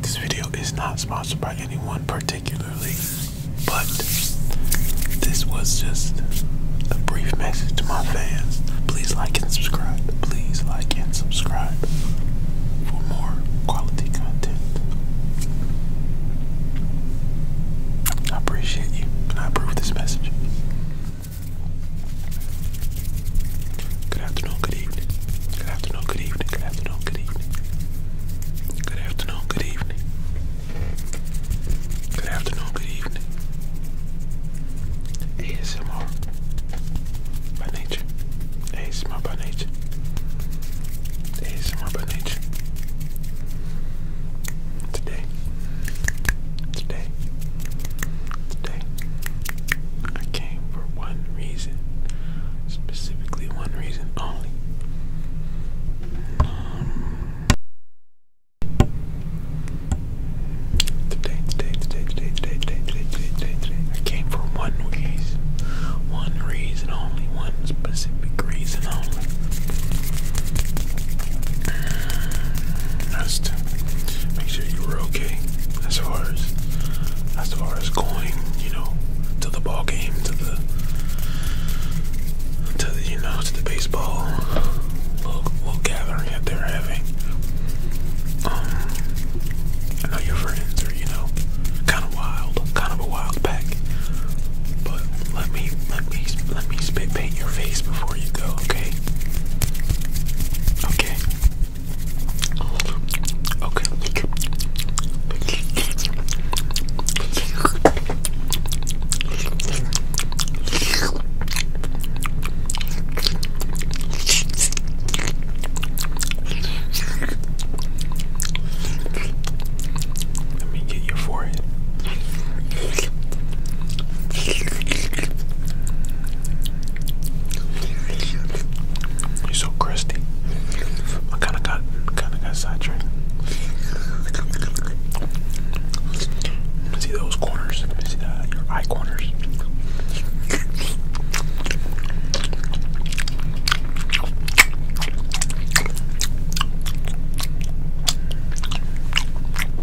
This video is not sponsored by anyone particularly, but this was just a brief message to my fans. Please like and subscribe. Please like and subscribe for more quality content. I appreciate you and I approve this message. Good afternoon, good evening. Good afternoon, good evening. Good afternoon, good evening. Good afternoon, good evening. ASMR by nature. ASMR by nature. ASMR by nature. Today. Today today. I came for one reason, specifically one reason only. today, today, today, today, today, today, today, today, today, I came for one reason, one reason only, one specific reason only. That's to make sure you were okay as far as as far as going, you know, to the ball game, to the to the you know, to the baseball little, little gathering that they're having. Um, I know your friends are, you know, kind of wild, kind of a wild pack. But let me let me let me spit paint your face before you go, okay? Okay. Okay. Let me get your forehead. You're so crusty. I kind of got, kind of got sidetracked. See those corners? your eye corners? Get the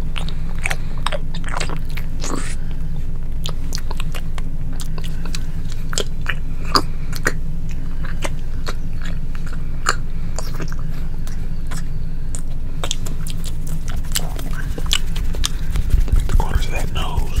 corners of that nose.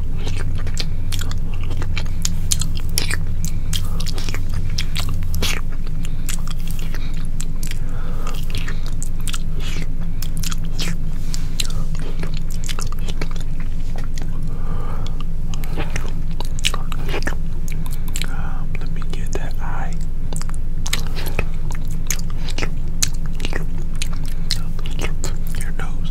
Um, let me get that eye. Your nose.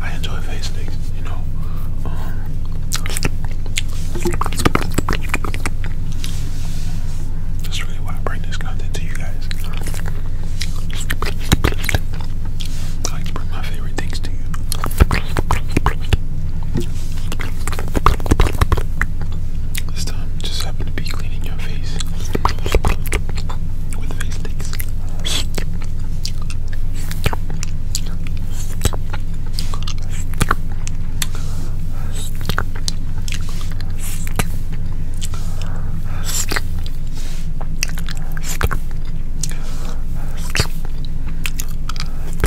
I enjoy face steaks, you know. Um, that's really why I bring this content to you guys. I bring my favorite things to you. This time, just happen to be cleaning your face with face sticks.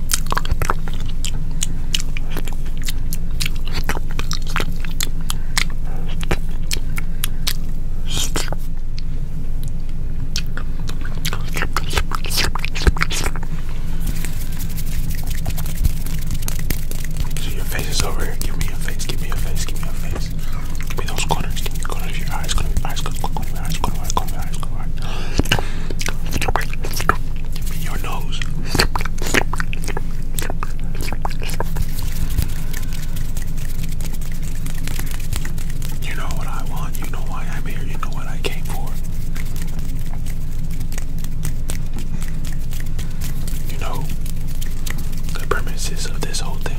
So your face is over here. Give me your face. Give me your face. Give me your face. Give me those corners. Give me the corners of your eyes. Eyes. Eyes. Eyes eyes, close your eyes, close your eyes, close your eyes. Your nose. You know what I want, you know why I'm here, you know what I came for. You know the premises of this whole thing.